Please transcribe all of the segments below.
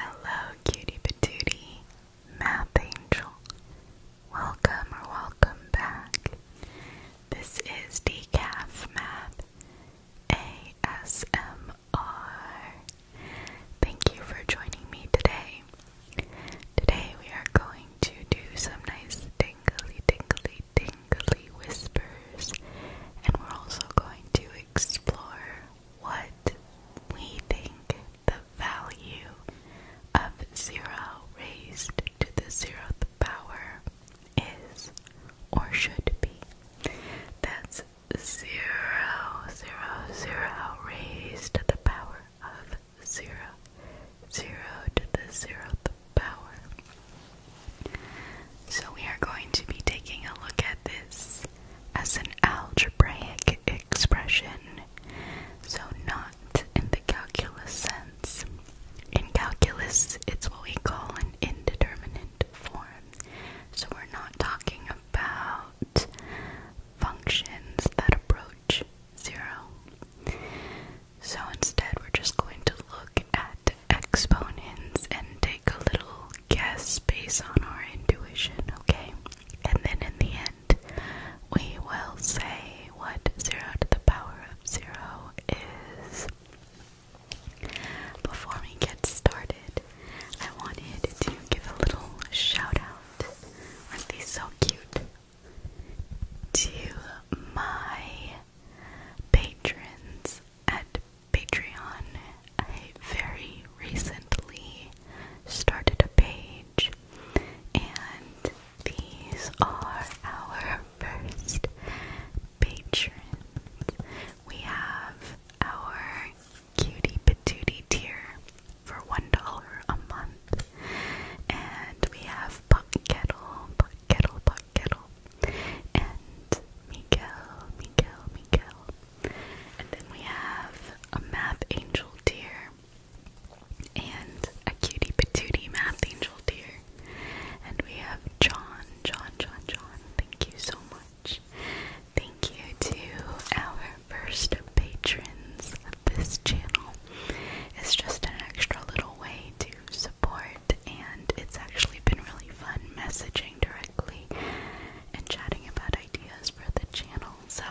Hello, cutie patootie, math angel. Welcome or welcome back. This is Decaf Math ASMR. Thank you for joining me today. Today we are going to do some nice tingly, tingly, tingly whispers, and we're also going to explore what we think the value of zero raised to the zeroth power is or should be. That's zero, zero, zero raised to the power of zero, zero to the zeroth power. So we are going to be taking a look at this as an algebraic expression, so not in the calculus sense. In calculus, it's what we call an indeterminate form, so we're not talking about functions that approach zero. So instead, we're just going to look at exponents and take a little guess based on our intuition, okay? And then in the end, we will say what 0 to the power of 0 is. Before we get started, I wanted to give a little shout out, aren't these so cute, to my patrons at Patreon, I very recently started a page, and these are our first patrons. We have our cutie patootie tier for one dollar a month, and we have Buck Kettle, Buck Kettle, Buck Kettle, and Miguel, Miguel, Miguel. And then we have a math angel dear, and a cutie patootie math angel dear, And we have John, John, John, John. Thank you so much. Thank you to our first patrons of this channel. It's just an extra little way to support, and it's actually been really fun messaging directly and chatting about it ideas for the channel, so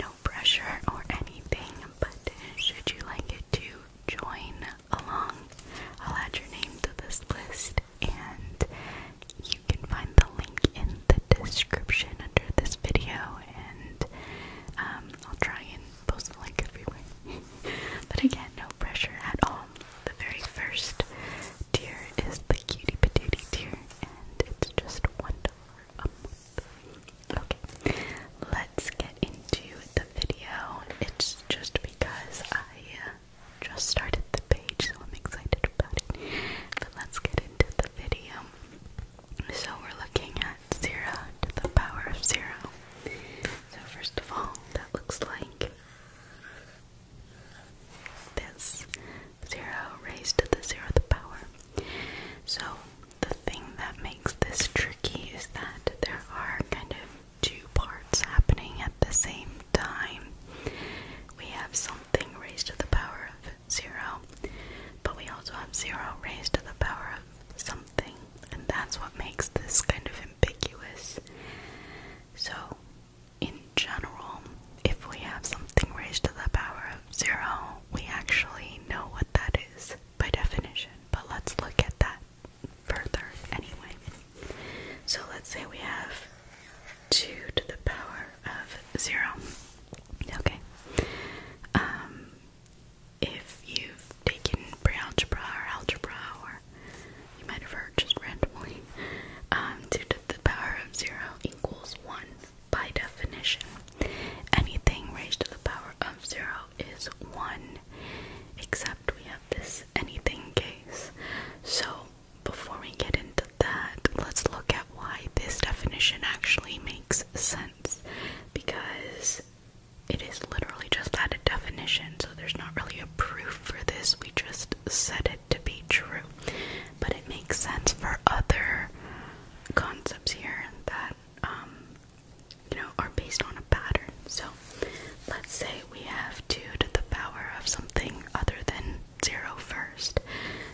no pressure or anything. But should you like to join along, I'll add your name to this list, and you can find the link in the description under this video. And um, I'll try and post the link everywhere. but again, no pressure at all. The very first tier is the cutie patootie tier, it's just one dollar a month. Okay, let's get into the video. It's just because I uh, just started the page, so I'm excited about it. But let's get into the video. So we're looking at zero to the power of zero. So first of all, that looks like this 0 raised to the zeroth power. So, the thing that makes this tricky is that there are kind of two parts happening at the same time. We have something raised to the power of 0, but we also have 0 raised to the power of something, and that's what makes this kind of ambiguous. So, in general, if we have something raised to the power of zero, we actually know what that is by definition. But let's look at that further anyway. So let's say we have 2 to the power of 0. Okay. Um, if you've taken pre-algebra or algebra or you might have heard just randomly, um, 2 to the power of 0 equals 1 by definition. Anything raised to the power of 0 is 1, except we have this anything case. So, before we get into that, let's look at why this definition actually makes sense. Because it is literally just that a definition, so there's not really a proof for this. We just just said it to be true. But it makes sense for other concepts here that um, you know are based on a pattern. So let's say we have two to the power of something other than zero first.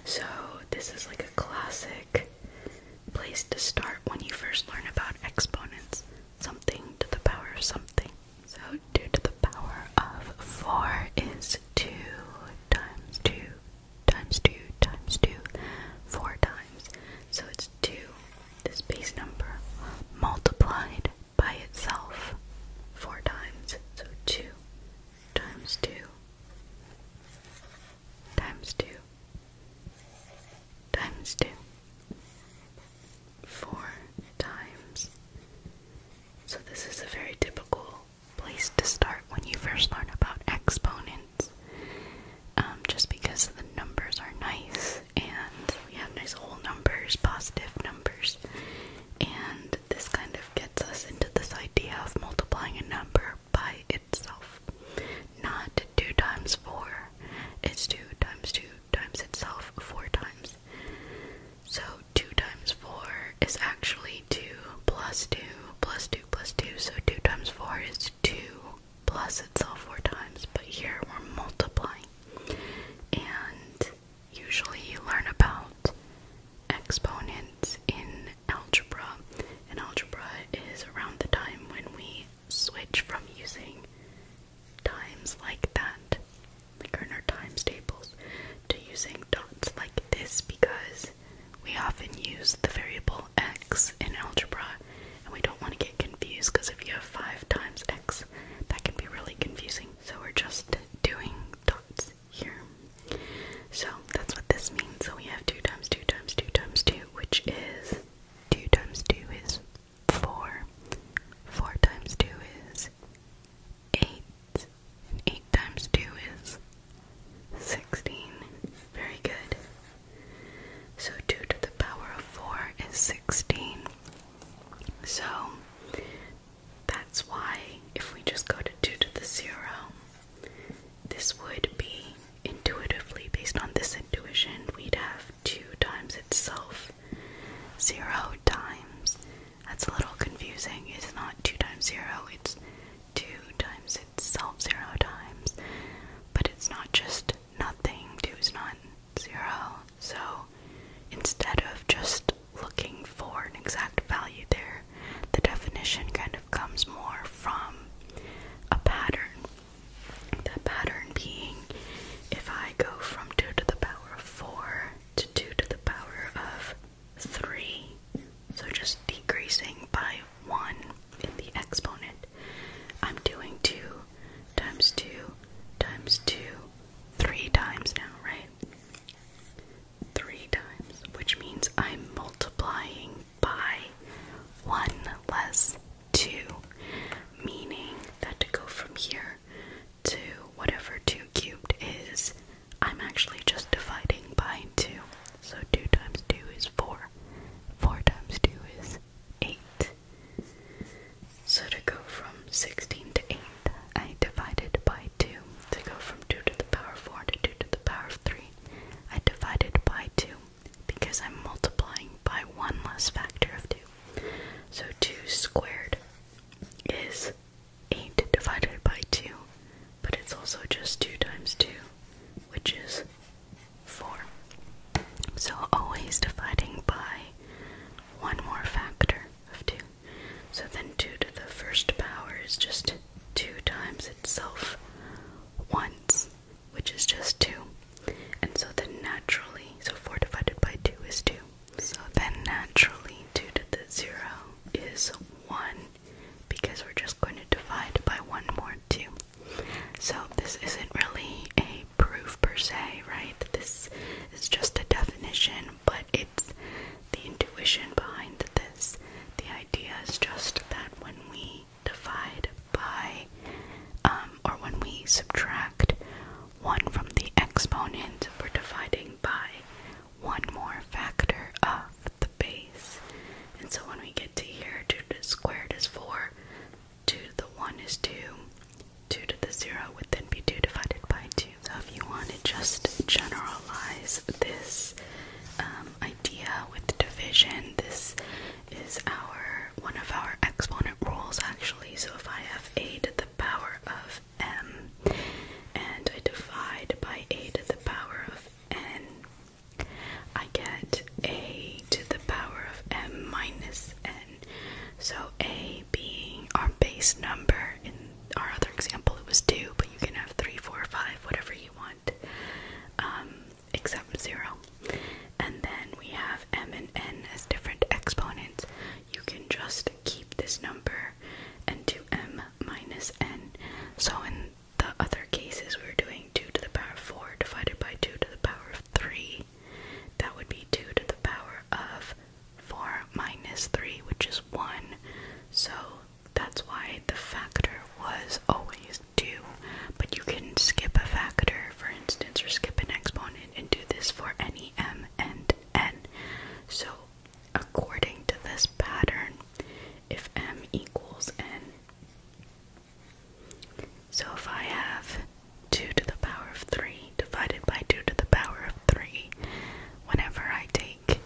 So this is like a classic place to start when you first learn about exponents. Something to the power of something. So 2 to the power of 4 is 2 times 2 times 2 times 2 four times. So it's 2, this base number, multiplied by itself four times. So 2 times 2 times 2 times 2 four times. So this is a very typical place to start when you first learn about exponents. Um, just because the numbers are nice and we have nice whole numbers, positive numbers, and this kind of gets us into this idea of multiplying a number by itself. Not 2 times 4, it's 2 times 2 times itself 4 times. So 2 times 4 is actually 2 plus 2 plus 2 plus 2. So 2 times 4 is 2 plus itself 4 times. But here we're multiplying. And usually you learn about exponents in algebra. And algebra is around the time when we switch from using times like that, like in our times tables, to using dots like this because we often use the variable x in algebra and we don't want to get confused because if you have 5 times x, that can be really confusing. So we're just doing dots here. So that's what this means. So we have 2 times 2 times 2 times 2, which is 2 times 2 is 4, 4 times 2 is 8. 8. times 2 is 16. Very good. So 2 to the power of 4 is 16. So that's why if we just go to 2 to the 0, this would be intuitively, based on this intuition, we'd have 2 times itself, 0 times that's a little confusing. It's not 2 times 0, it's 2 times itself 0 times. But it's not just nothing, 2 is not 0. So instead of just looking for an exact value there, the definition kind of comes more from a pattern. The pattern being if I go from 2 to the power of 4 to 2 to the power of 3, so just decreasing by 1 in the exponent. I'm doing 2 times 2 times 2 3 times now, right? 3 times, which means I'm multiplying by 1 less 2, meaning that to go from here to whatever 2 cubed is, I'm actually just dividing by 2. So 2 times 2 is 4. 4 times 2 is 8. So to go from 16 to 8, I divided by 2. To go from 2 to the power of 4 to 2 to the power of 3, I divided by 2 because I'm multiplying by 1 less factor of 2. So 2 squared is 8 divided by 2, but it's also just 2 times 2, which is 4. So always dividing by one more factor of 2. So then 2 to the first power is just 2 times itself once, which is just 2. And so then naturally, so 4 divided by 2 is 2. So then naturally 2 to the 0 is 1 because we're just going to divide by 1 more 2. So this isn't really a proof per se, right? This is just a definition, but it's the intuition behind this. The idea is just that when we divide by, um, or when we subtract 1 from the exponent, we're dividing by one more factor of the base. And so when we get to here, 2 to the squared is 4, 2 to the 1 is 2, 2 to the 0 would then be 2 divided by 2. So if you want to just generalize this um, idea with division, this is our one of our exponent rules actually. So if I have a to the power of m and I divide by a to the power of I get a to the power of m minus n. So a being our base number. In our other example, it was 2, but you can have 3, 4, 5, whatever you want, um, except 0. And then we have m and n as different exponents. You can just keep this number and do m minus n. So in the other cases we were doing 2 to the power of 4 divided by 2 to the power of 3, that would be 2 to the power of 4 minus 3, which is 1. So that's why the factor was always 2. But you can skip a factor, for instance, or skip an exponent and do this for any m and n. So according to this pattern, if m equals n. So if I have 2 to the power of 3 divided by 2 to the power of 3, whenever I take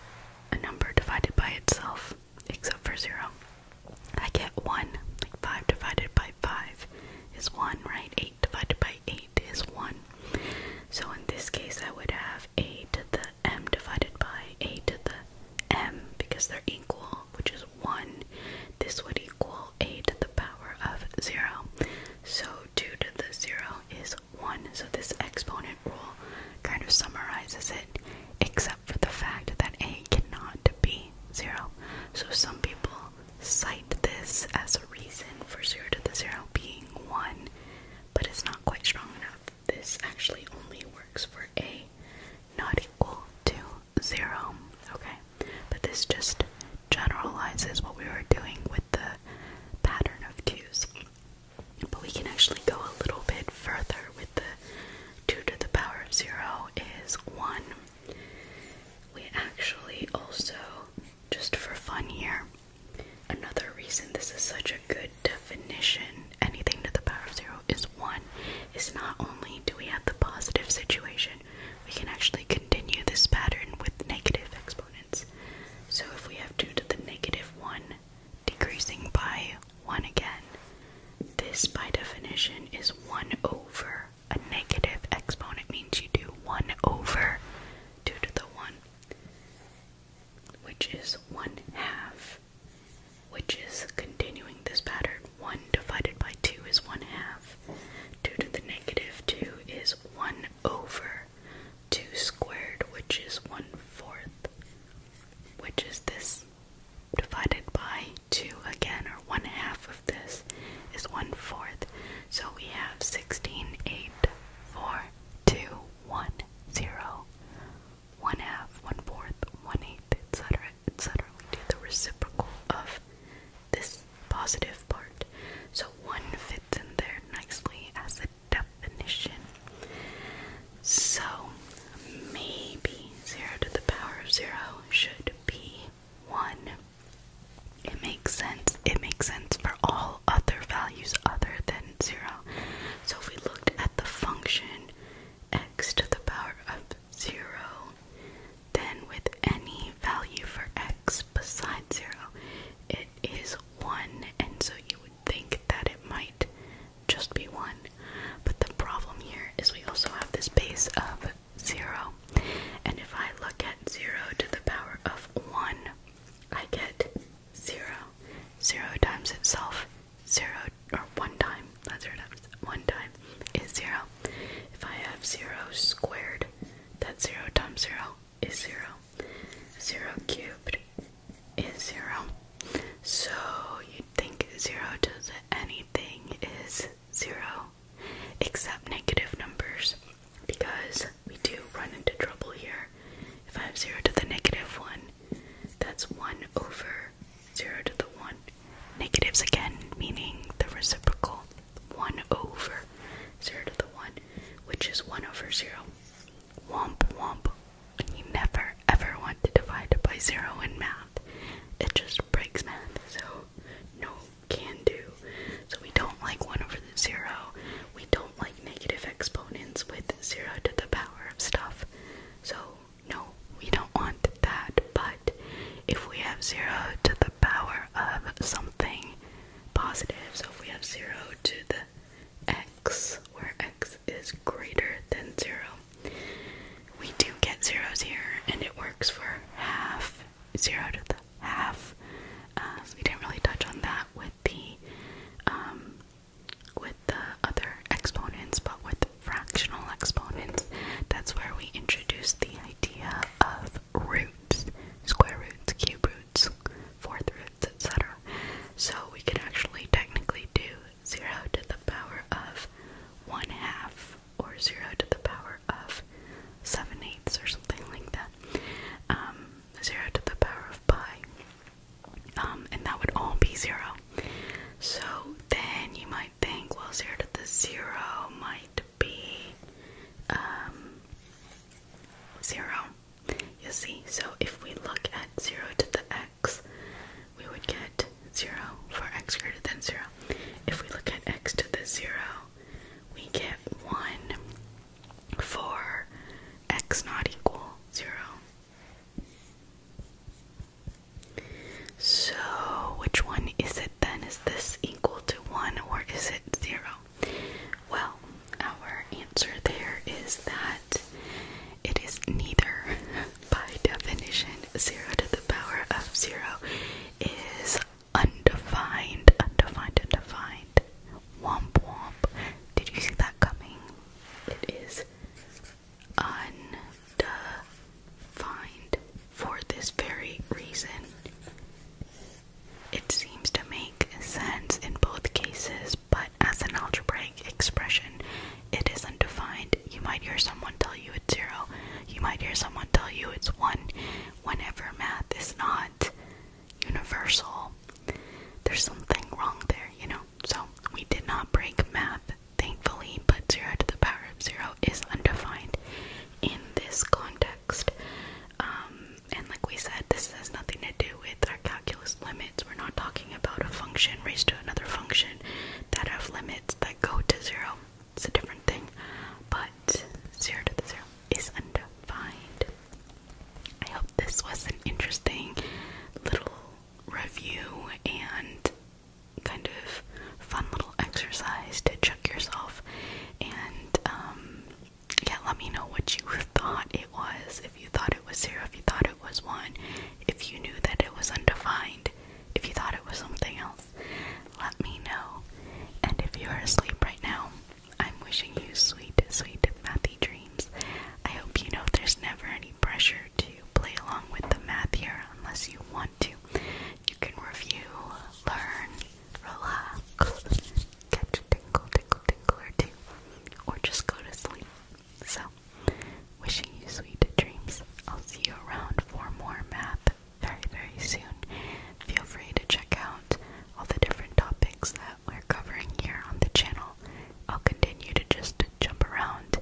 a number divided by itself, except for 0, I get 1. Like 5 divided by 5 is 1, right? 8 divided by 8 is 1. So in this case, I would have a to the m divided by a to the m because they're equal, which is 1. This would equal a to the power of 0. So 2 to the 0 is 1. So this exponent rule kind of summarizes it, except for the fact that a cannot be 0. So some people cite this as a reason for 0 to the 0 being 1, but it's not quite strong enough this actually only works for a not equal to zero, okay? But this just generalizes what we were doing with the pattern of twos. But we can actually go a little bit further with the 2 to the power of 0 is 1. We actually also, just for fun here, another reason this is such a good definition, anything to the power of 0 is one is not only do we have the positive situation, we can actually continue this pattern with negative exponents. So if we have 2 to the negative 1 decreasing by 1 again, this by definition is 1 over a negative exponent means you do 1 over 2 to the 1, which is 1 half which is continuing this pattern. 1 divided by 2 is 1 half. 2 to the negative 2 is 1 over 2 squared, which is 1 fourth, which is this divided by 2 again, or 1 half of this is 1 fourth. So we have 16, 8, 4, 2, 1, 0, one half, one fourth, one eighth, etc., etc. We do the reciprocal of this positive part. So one fits in there nicely as a definition. So maybe zero to the power of zero should be one. It makes sense. It makes sense for all other values other than zero. So if we looked at the function x to the power of 0, then with any value for x besides 0, it is 1, and so you would think that it might just be 1. But the problem here is we also have this base of 0, and if I look at 0 to the power of 1, I get 0. 0 times itself zero or one time, not zero times, one time is zero. If I have zero squared, that zero times zero is zero. Zero cubed is zero. So you'd think zero to the anything is zero, except negative numbers, because we do run into trouble here. If I have zero to the negative one, that's one over 0 to the 1. Negatives again, meaning the reciprocal 1 over 0 to the 1, which is 1 over 0. Womp womp. You never ever want to divide it by 0 in math. It just breaks math, so no can do. So we don't like 1 over the 0. We don't like negative exponents with 0 to the power of stuff. So no, we don't want that. But if we have zero to the power of something positive, so if we have zero to the x, where x is greater than zero, we do get zeros here, and it works for half, zero to the half. Uh, we didn't really touch on that with the um, with the other exponents, but with fractional exponents, that's where we introduce the idea of roots, square roots, cube roots, fourth roots, etc. So we can actually technically do 0 to the power of 1 half or 0 to the power of 7 eighths or something like that. Um, 0 to the power of pi. Um, and that would all be 0 so then you might think, well, zero to the zero might be um, zero. You see, so if we look at zero to the x, we would get zero for x greater than zero. If we look at x to the zero, we get one for x not equal zero. So, which one is it then? Is this equal to 1 or is it 0? Well, our answer there is that it is neither. By definition, 0 to the power of 0 is undefined, undefined, undefined. Womp womp. Did you see that coming? It is undefined for this very reason. It seems to make sense in both cases, but as an algebraic expression, it is undefined. You might hear someone tell you it's zero, you might hear someone tell you it's one, whenever math is not universal. There's something wrong there, you know? So we did not break math, thankfully, but zero to the power of zero is undefined in this context. Um, and like we said, this has nothing to do with our calculus limits. We're not talking about a function raised to another function that have limits that go to zero. It's a different thing. But zero to the zero is undefined. I hope this was an interesting little review and kind of fun little exercise to check yourself and um, yeah let me know what you thought it was if you thought it was zero if you thought it was one if you knew that it was undefined if you thought it was something else let me know and if you are asleep right now i'm wishing you sweet sweet mathy dreams i hope you know there's never any pressure to play along with the math here unless you want to. You can review, learn, relax, catch a tingle, tingle, tingle or two, or just go to sleep. So, wishing you sweet dreams. I'll see you around for more math very, very soon. Feel free to check out all the different topics that we're covering here on the channel. I'll continue to just jump around.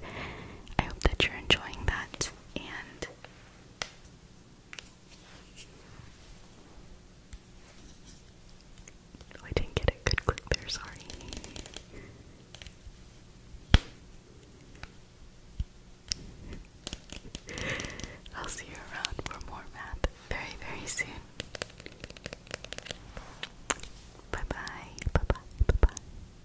I hope that you're enjoying that and oh, I didn't get a good clip there, sorry. I'll see you around for more math very, very soon. Bye bye, bye bye, bye bye.